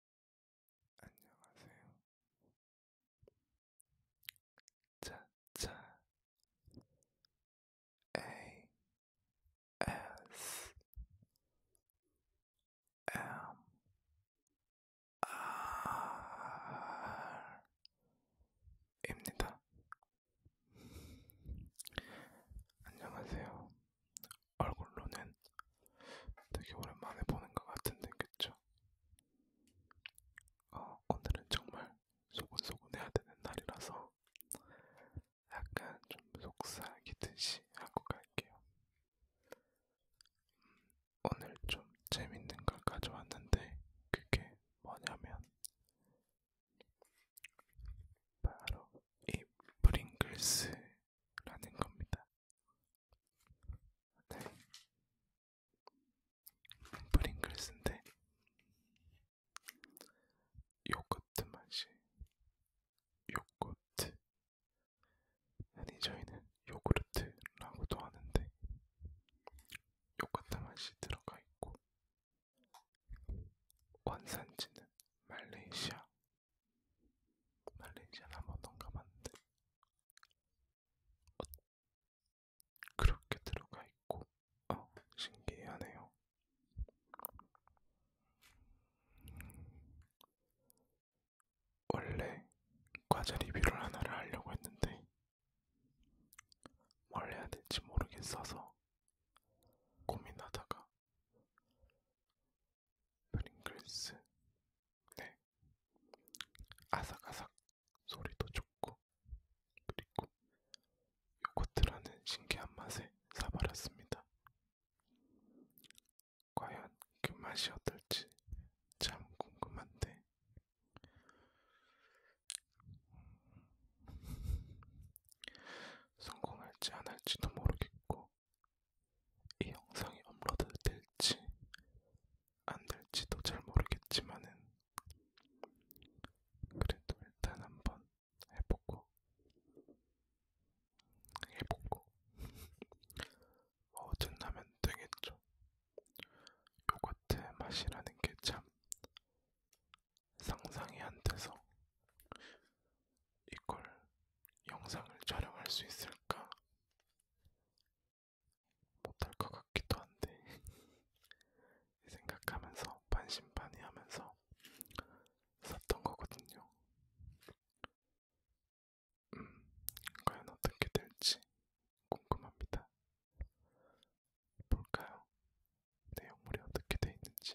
안녕하세요. 짜짜 A S M R 입니다. 안녕하세요. 얼굴로는 되게 오랜만에 보는 것 같은데 그쵸? 어, 오늘은 정말 소곤소곤해야 되는 날이라서 약간 좀 속삭이듯이 하고 갈게요. 음, 오늘 좀 재밌는 걸 가져왔는데 그게 뭐냐면 바로 이 프링글스 라는 겁니다. 네. 프링글스인데 요거트 맛이 요거트 아니 저희는 요구르트라고도 하는데 요거트 맛이 들어가 있고 원산지는 말레이시아 말레이시아는 한 번도 안 가봤는데 어, 그렇게 들어가 있고 어, 신기하네요. 원래 과자 리뷰를 하나를 하려고 했는데 뭘 해야 될지 모르겠어서 고민하다가 프링글스 네 아삭아삭 소리도 좋고 그리고 요거트라는 신기한 맛에 사발았습니다. 과연 그 맛이 어떨지 참 궁금한데 음. 성공할지 안 할지도 모르겠고 이 영상이 업로드 될지 안 될지도 잘 모르겠지만은 그래도 일단 한번 해보고 해보고 뭐 어쩐다면 되겠죠. 요거트 맛이라는 게 참 상상이 안 돼서 이걸 영상을 촬영할 수 있을까? 못할 것 같기도 한데 생각하면서 반신반의하면서 샀던 거거든요. 음, 과연 어떻게 될지 궁금합니다. 볼까요? 내용물이 어떻게 돼 있는지.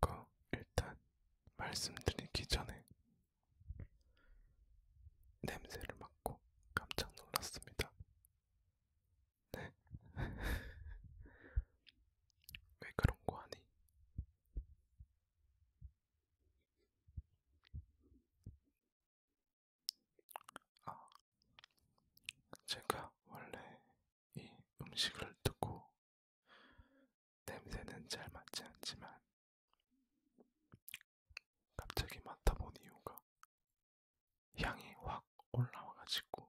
그 일단 말씀드리기 전에 냄새를 맡고 깜짝 놀랐습니다. 네. 왜 그런 거 하니? 아, 제가 원래 이 음식을 듣고 냄새는 잘 맞지 않지만 갑자기 맡아본 이유가 향이 확 올라와가지고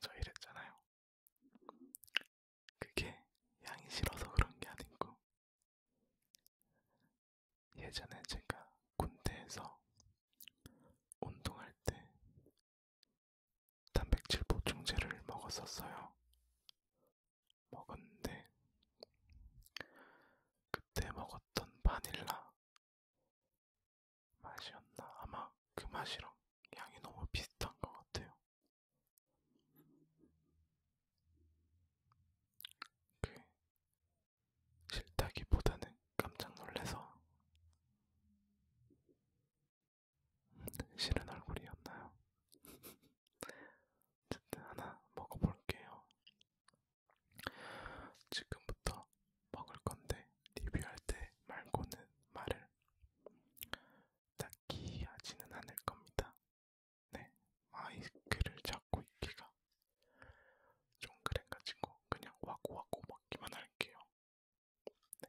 저 이랬잖아요. 그게 향이 싫어서 그런 게 아니고 예전에 제가 군대에서 운동할 때 단백질 보충제를 먹었었어요. 먹었는데 그때 먹었던 바닐라 맛이었나 아마 그 맛이랑 양이 너무 비슷한 것 같아요. 그 싫다기보다는 깜짝 놀래서 싫은 얼굴이었나요? 어쨌든 하나 먹어볼게요. 지금부터 먹을 건데 리뷰할 때 말고는 말을 딱히 하지는 않을 겁니다. 네, 마이크를 잡고 있기가 좀 그래가지고 그냥 와고와고 먹기만 할게요. 네.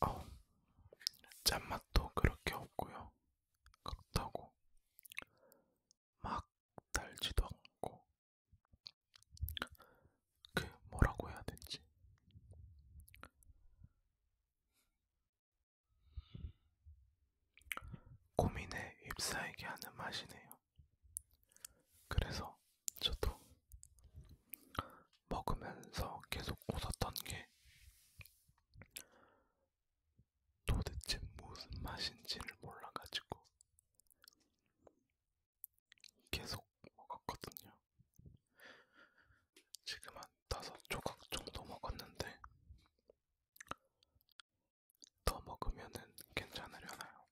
어, 짠맛도 그렇게 없고요. 그렇다고 막 달지도 않고 그 뭐라고 해야 될지 고민에 휩싸이게 하는 맛이네요. 그래서 저도 먹으면서 계속 웃었던 게 도대체 무슨 맛인지를 몰라가지고 계속 먹었거든요. 뭐 지금 한 다섯 조각 정도 먹었는데 더 먹으면은 괜찮으려나요?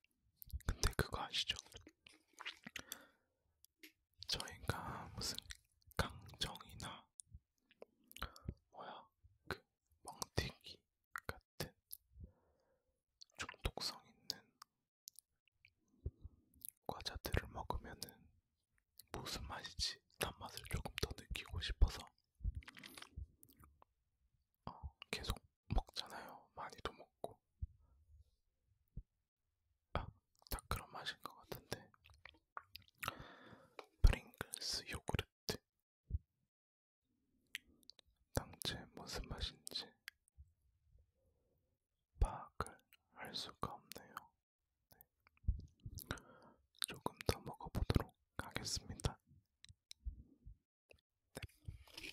근데 그거 아시죠? 저희가 무슨 강정이나 뭐야 그 멍튀기 같은 중독성 있는 과자들을 먹으면은 무슨 맛이지? 단맛을 조금 더 느끼고 싶어서 어, 계속 먹잖아요. 많이도 먹고. 아, 다 그런 맛인 것 같은데. 프링글스 요구르트. 당체 무슨 맛인지 파악을 할 수가 없네요. 네. 조금 더 먹어보도록 하겠습니다. 네.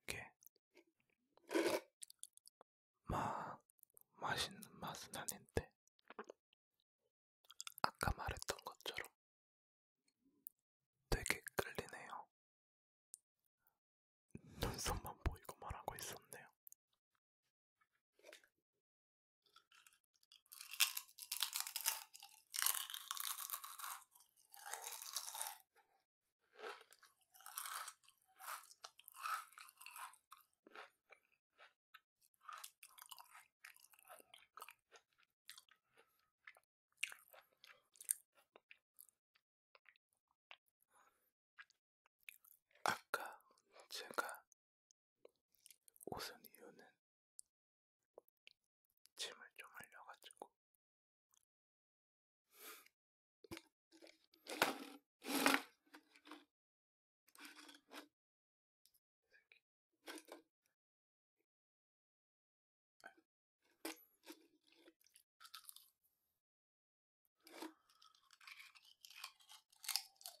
이게 막 맛있는 맛은 아닌데 아까 말했던 것처럼 되게 끌리네요. 눈썹만 보이고 말하고 있었네요. 아까 제가 웃은 이유는 침을 좀 흘려가지고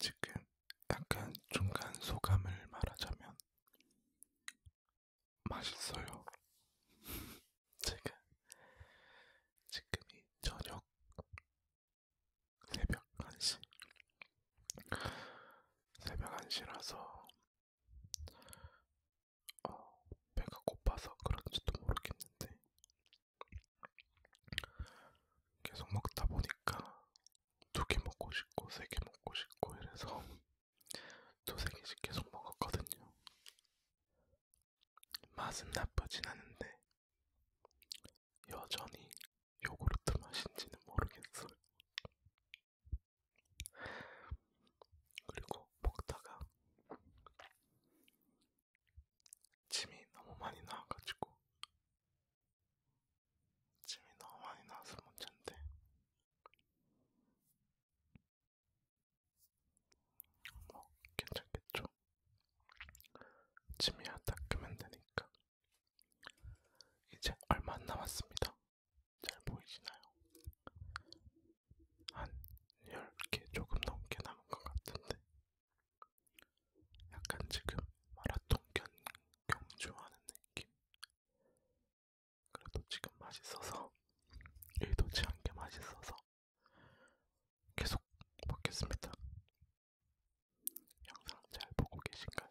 지금 약간 중간 소감을 말하자면 맛있어요. 제가 지금이 저녁 새벽 1시 새벽 1시라서 어, 배가 고파서 그런지도 모르겠는데 계속 먹다 보니까 두 개 먹고 싶고 세 개 먹고 싶고 이래서 두세 개씩 계속 먹었거든요. 맛은 나쁘진 않은데 여전히 요구르트 맛인지는 모르겠어요. 그리고 먹다가 침이 너무 많이 나와가지고 침이 너무 많이 나와서 문제인데 뭐 괜찮겠죠? 짐이야 닦으면 되니까. 이제 얼마 안 남았습니다. 잘 보이시나요? 한 10개 조금 넘게 남은 것 같은데 약간 지금 마라톤 경주하는 느낌? 그래도 지금 맛있어서 의도치 않게 맛있어서 계속 먹겠습니다. 영상 잘 보고 계신가요?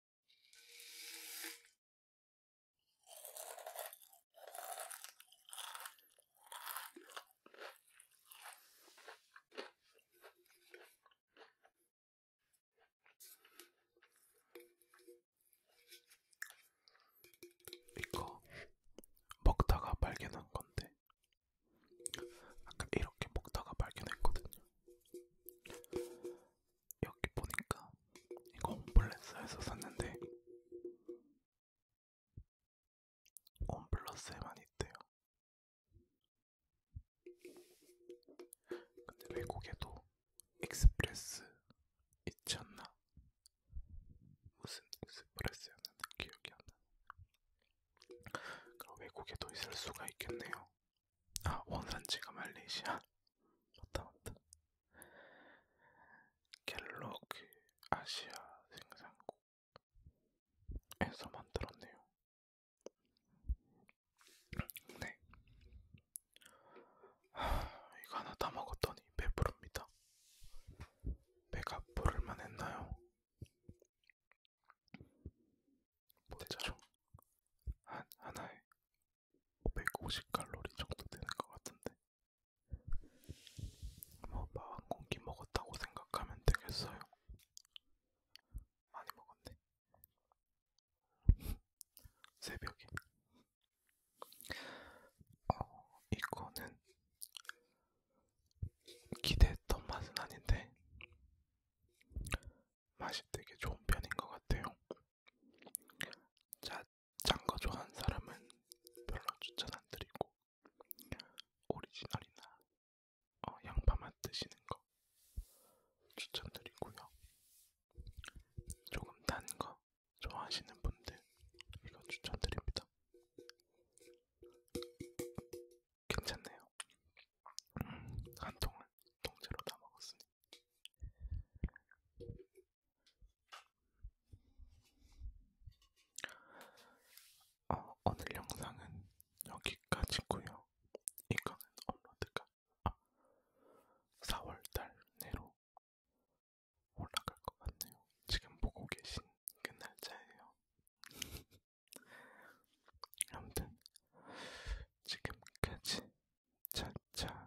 이거 먹다가 발견한 건데, 아까 이렇게 먹다가 발견했거든요. 여기 보니까 이거 홈플러스에서 샀는데 홈플러스에만 있대요. 근데 외국에도 익스프레스 있지 않나? 무슨 익스프레스였는데 기억이 안 나. 그럼 외국에도 있을 수가 있겠네요. 아 원산지가 말레이시아. 맞다 맞다. 갤럭 아시아 생산국에서 만들었네요. 네. 하, 이거 하나 다 먹었더니 배부릅니다. 배가 부를만 했나요? 보자. 한 하나에 550칼로리 정도 되는 것 같은데 뭐밥한 공기 먹었다고 생각하면 되겠어요. 많이 먹었네. 새벽에. 어, 이거는 기대했던 맛은 아닌데 맛이 되게 좋은 편인 것 같아요. 자, 장거 좋아하는 사람은 별로 추천 안 드리고 오리지널이나 어, 양파맛 드시는 거 추천드리고요. 조금 단 거 좋아하시는 분들 이거 추천드립니다. 괜찮네요. 음, 한 통은 통째로 다 먹었으니 어, 오늘 영상은 여기까지고요. 이거는 업로드가 아, 4월달 내로 올라갈 것 같네요. 지금 보고 계신 그 날짜예요. 아무튼 지금까지 차차